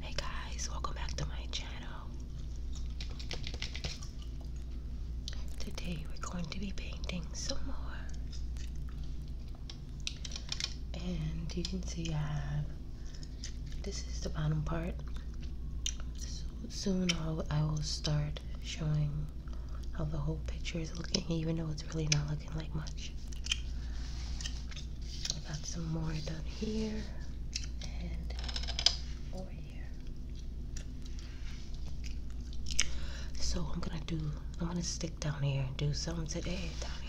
Hey guys, welcome back to my channel. Today we're going to be painting some more. And you can see I have, this is the bottom part. So soon I'll, start showing how the whole picture is looking even though it's really not looking looking like got some more done here and over here. So I'm gonna do, I'm gonna stick down here and do some today down here.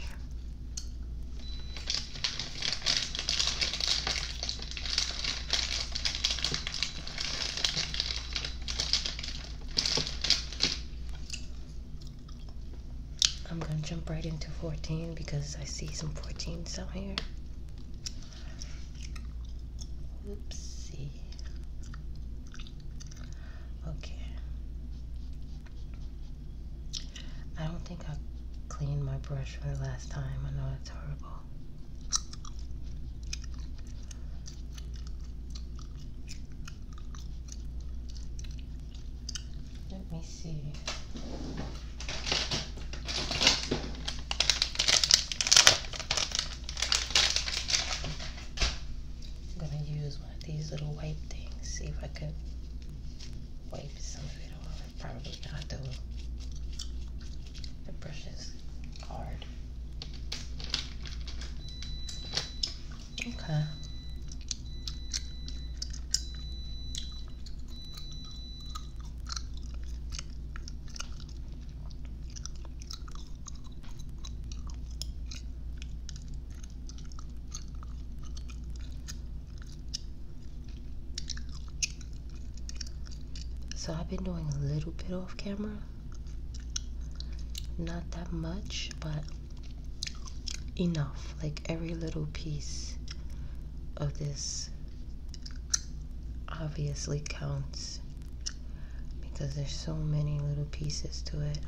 I'm gonna jump right into 14 because I see some 14s out here. Oopsie. Okay. I don't think I cleaned my brush for the last time. I know it's horrible. Let me see. I'm gonna use one of these little wipe things, see if I can wipe some of it off. Probably not though. The brush is hard. Okay. So I've been doing a little bit off camera. Not that much, but enough like every little piece of this obviously counts because there's so many little pieces to it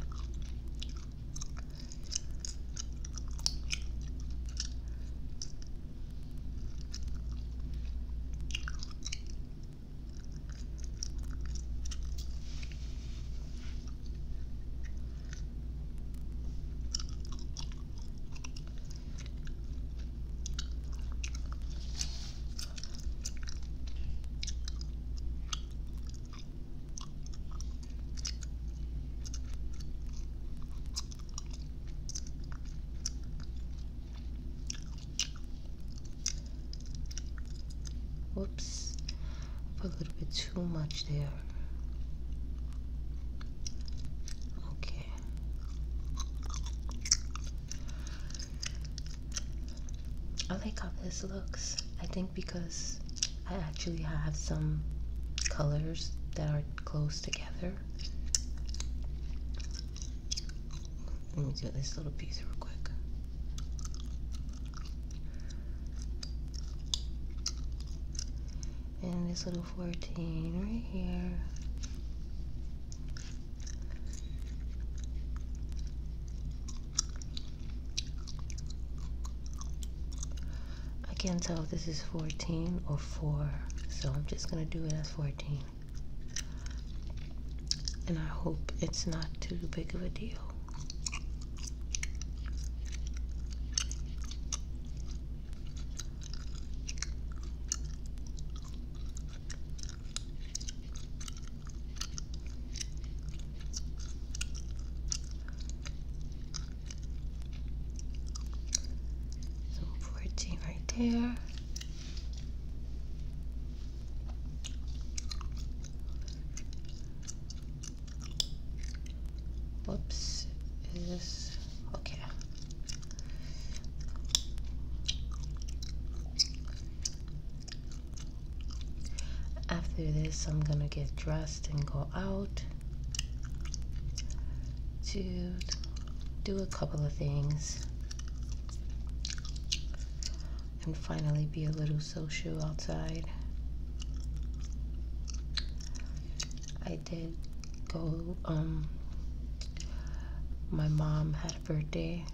Whoops, put a little bit too too much there. Okay. I like how this looks. I think because I actually have some colors that are close together. Let me do this little piece real quick and this little 14 right here I can't tell if this is 14 or 4 so I'm just gonna do it as 14 and I hope it's not too big of a deal so 14 right there. Whoops, is this, okay. After this, I'm gonna get dressed and go out to do a couple of things and finally be a little social outside. I did go, um, my mom had a birthday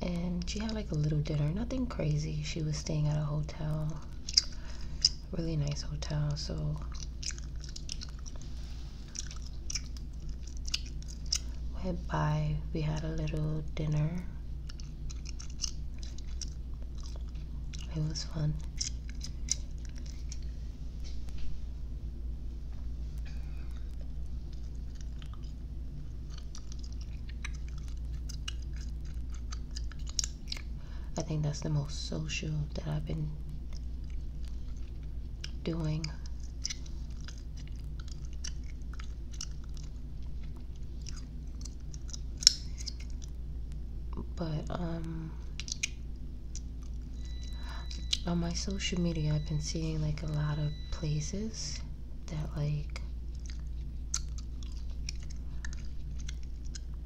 and she had like a little dinner, nothing crazy. She was staying at a hotel, really nice hotel, so went by, we had a little dinner it was fun. I think that's the most social that I've been doing but um, on my social media I've been seeing like a lot of places that like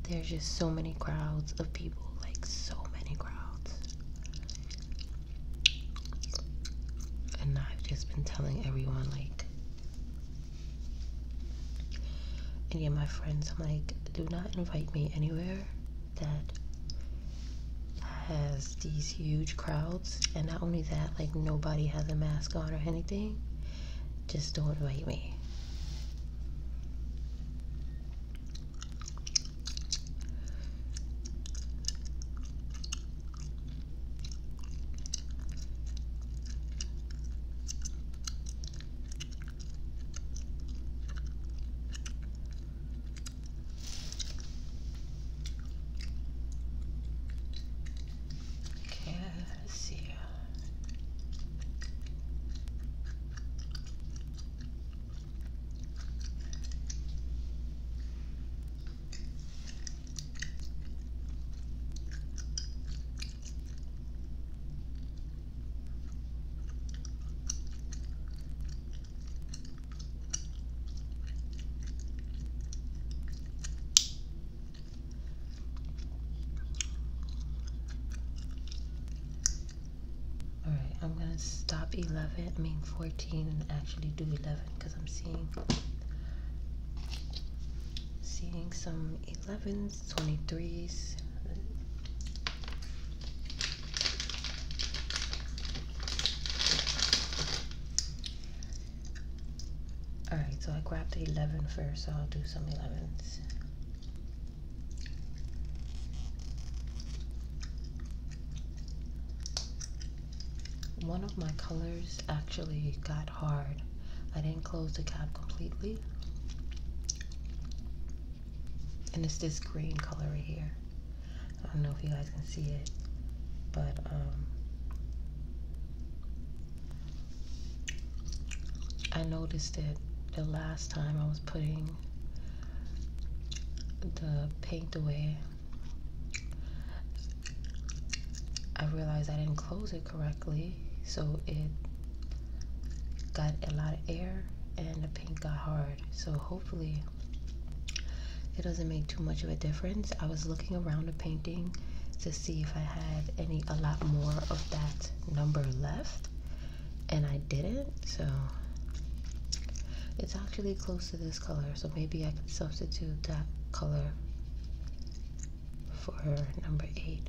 there's just so many crowds of people like so many crowds and I've just been telling everyone like and yeah, my friends, I'm like, do not invite me anywhere that has these huge crowds. And not only that, like nobody has a mask on or anything. Just don't invite me. Cassia. All right, I'm gonna stop 11, I mean 14 and actually do 11 because I'm seeing seeing some 11s, 23s. Alright, so I grabbed the 11 first, so I'll do some 11s. One of my colors actually got hard. I didn't close the cap completely. And it's this green color right here. I don't know if you guys can see it, but um, I noticed that the last time I was putting the paint away, I realized I didn't close it correctly so it got a lot of air and the paint got hard so hopefully it doesn't make too much of a difference I was looking around the painting to see if I had any a lot more of that number left and I didn't so it's actually close to this color so maybe I can substitute that color for number eight.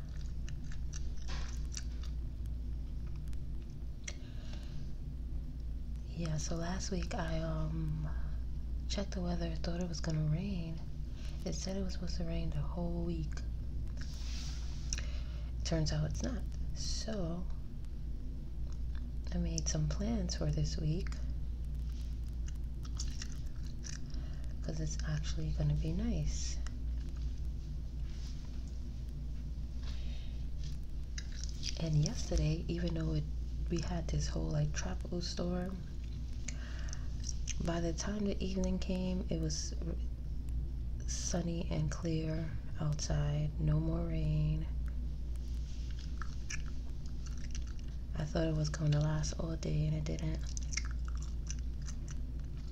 Yeah, so last week I um, checked the weather, thought it was gonna rain. It said it was supposed to rain the whole week. Turns out it's not. So I made some plans for this week because it's actually going to be nice. And yesterday, even though it, we had this whole like tropical storm, by the time the evening came, it was sunny and clear outside, no more rain. I thought it was going to last all day and it didn't.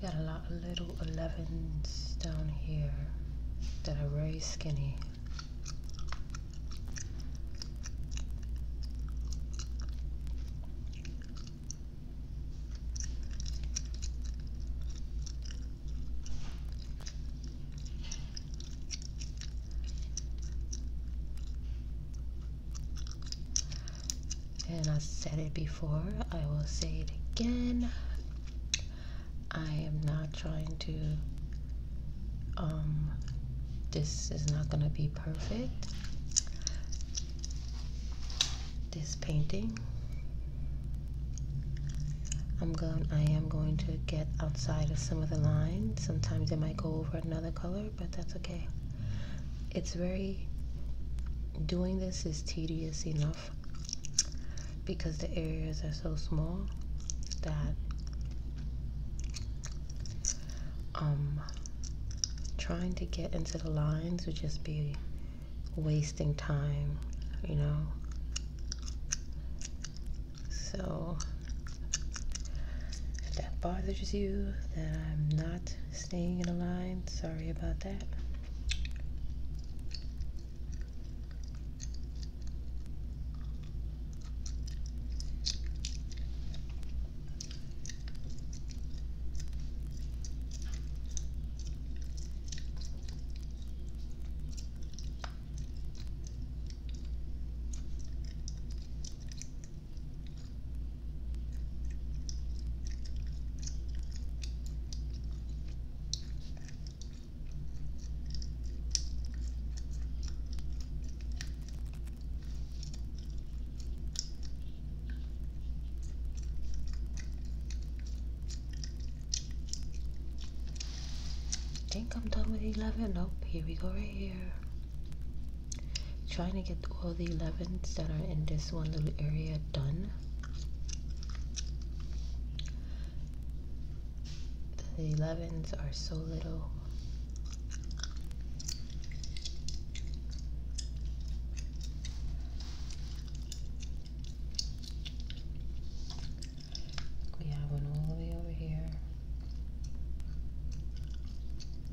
got a lot of little 11s down here that are very skinny and I said it before, I will say it again. I am not trying to, um, this is not going to be perfect. This painting. I'm going, I am going to get outside of some of the lines. Sometimes it might go over another color, but that's okay. It's very, doing this is tedious enough because the areas are so small that um, trying to get into the lines would just be wasting time, you know? So, if that bothers you, then I'm not staying in a line. Sorry about that. I Think I'm done with 11. Nope, here we go right here trying to get all the 11s that are in this one little area done the 11s are so little we have one all the way over here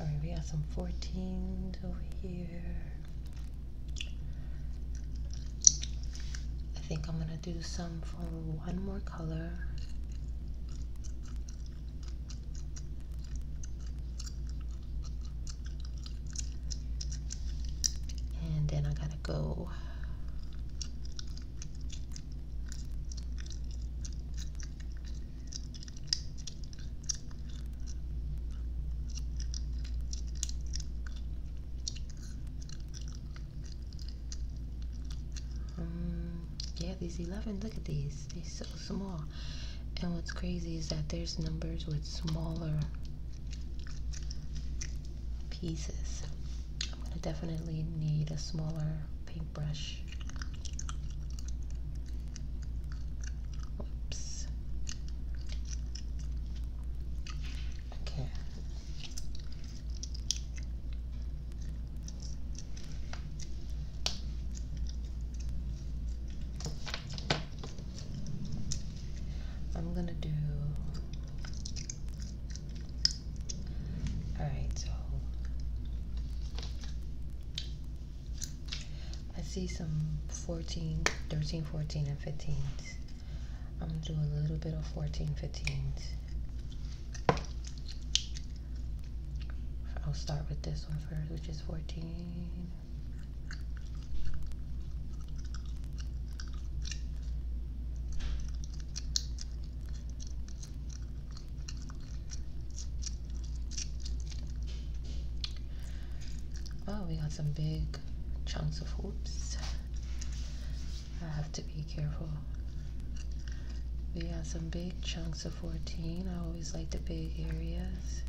All right, we got some 14s over here. I think I'm going to do some for one more color. And then i got to go um, yeah, these 11, look at these. They're so small. And what's crazy is that there's numbers with smaller pieces. I'm going to definitely need a smaller paintbrush. Whoops. Okay, I'm going to do. Alright, so I see some 14, 13, 14, and fifteen. I'm gonna do a little bit of 14 I'll start with this one first, which is 14. Oh, we got some big chunks of hoops. I have to be careful. We have some big chunks of 14. I always like the big areas.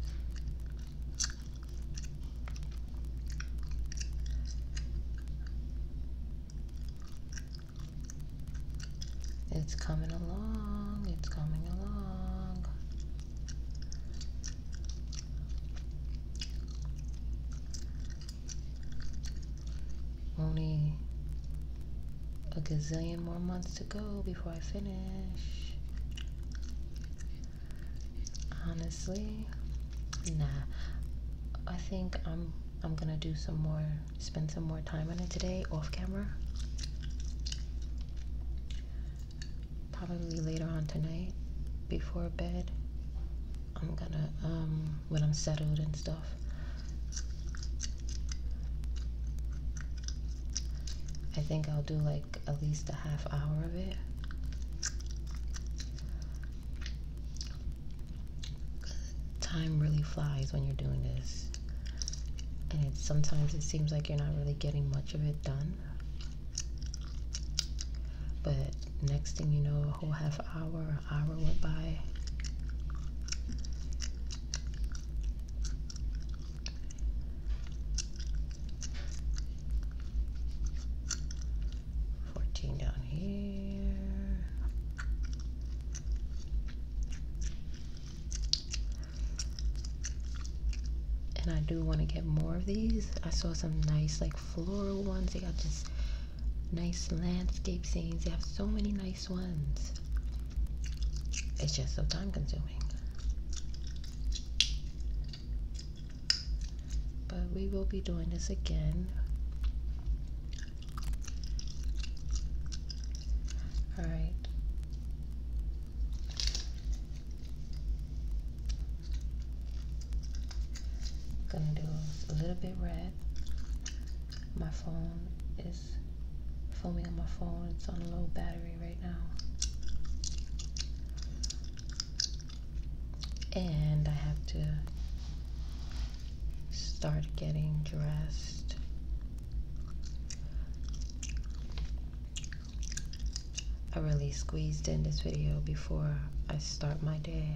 It's coming along, it's coming along. Only a gazillion more months to go before I finish. Honestly, nah. I think I'm I'm gonna do some more, spend some more time on it today off camera. Probably later on tonight before bed. I'm gonna um when I'm settled and stuff. I think I'll do like at least a half hour of it. Time really flies when you're doing this. And sometimes it seems like you're not really getting much of it done. But next thing you know, a whole half hour, hour went by. Fourteen down here. And I do want to get more of these. I saw some nice like floral ones. They got just nice landscape scenes. They have so many nice ones. It's just so time consuming. But we will be doing this again. Alright. Gonna do a little bit red. My phone is foaming on my phone. It's on low battery right now. And I have to start getting dressed. I really squeezed in this video before I start my day.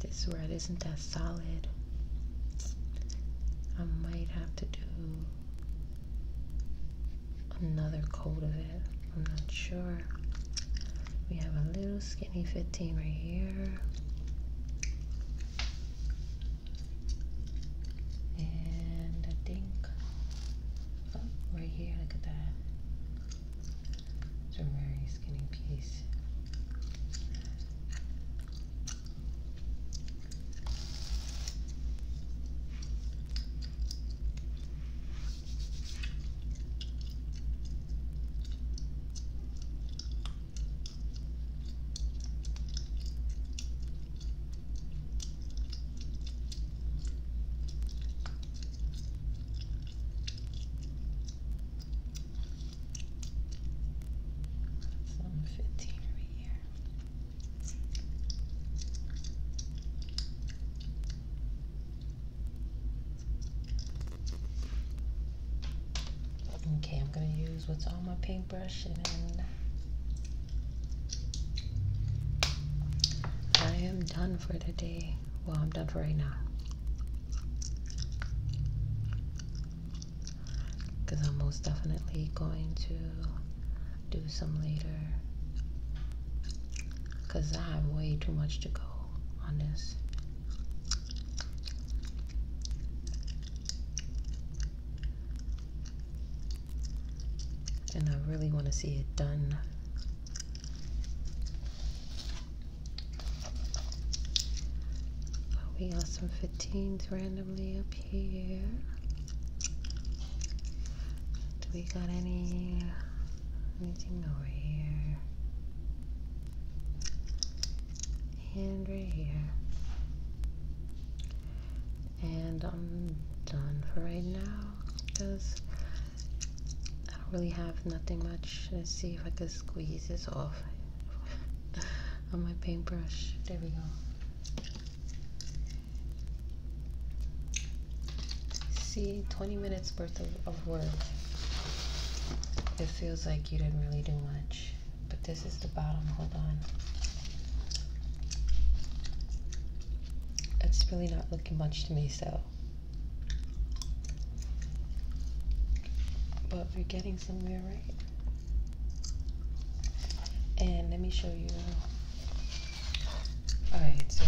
This red isn't that solid. I might have to do another coat of it. I'm not sure. We have a little skinny 15 right here. And I think right here, look at that. It's a very skinny piece. That's 115 here. Okay, I'm going to use what's on my paintbrush and I am done for the day. Well, I'm done for right now. Because I'm most definitely going to do some later. Because I have way too much to go on this and I really want to see it done. we got some 15s randomly up here. Do we got any anything over here? And right here and I'm done for right now because I don't really have nothing much. Let's see if I can squeeze this off on my paintbrush. There we go. See, 20 minutes worth of, of work. It feels like you didn't really do much, but this is the bottom. Hold on it's really not looking much to me, so. But we're getting somewhere, right? And let me show you. Alright, so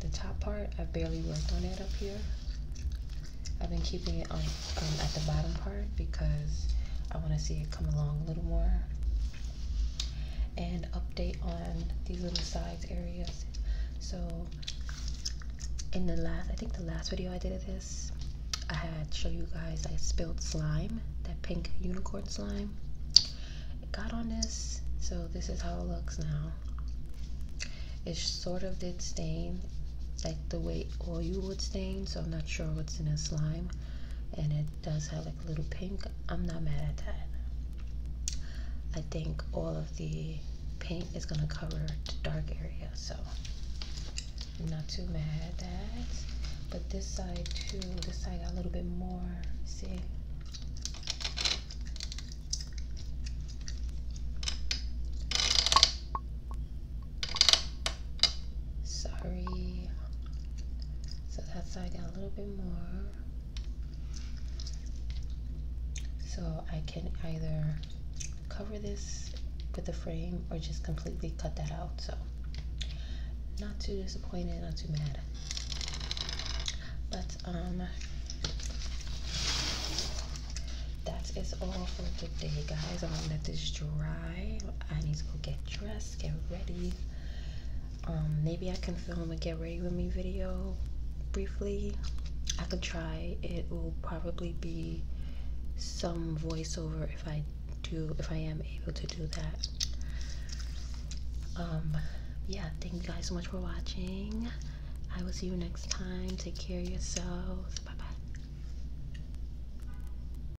the top part, I have barely worked on it up here. I've been keeping it on um, at the bottom part because I want to see it come along a little more and update on these little sides areas. So in the last, I think the last video I did of this, I had show you guys I spilled slime, that pink unicorn slime. It got on this, so this is how it looks now. It sort of did stain, like the way oil would stain, so I'm not sure what's in this slime. And it does have like a little pink i'm not mad at that i think all of the paint is going to cover the dark area so not too mad at that but this side too this side got a little bit more see Sorry. So that I got a little bit more. So I can either cover this with the frame or just completely cut that out. So not too disappointed, not too mad. But um, that is all for today, guys. I'm gonna let this dry. I need to go get dressed get ready. Um, maybe I can film a get ready with me video briefly. I could try. It will probably be some voiceover if I do, if I am able to do that. Um, yeah, thank you guys so much for watching. I will see you next time. Take care yourselves. Bye bye.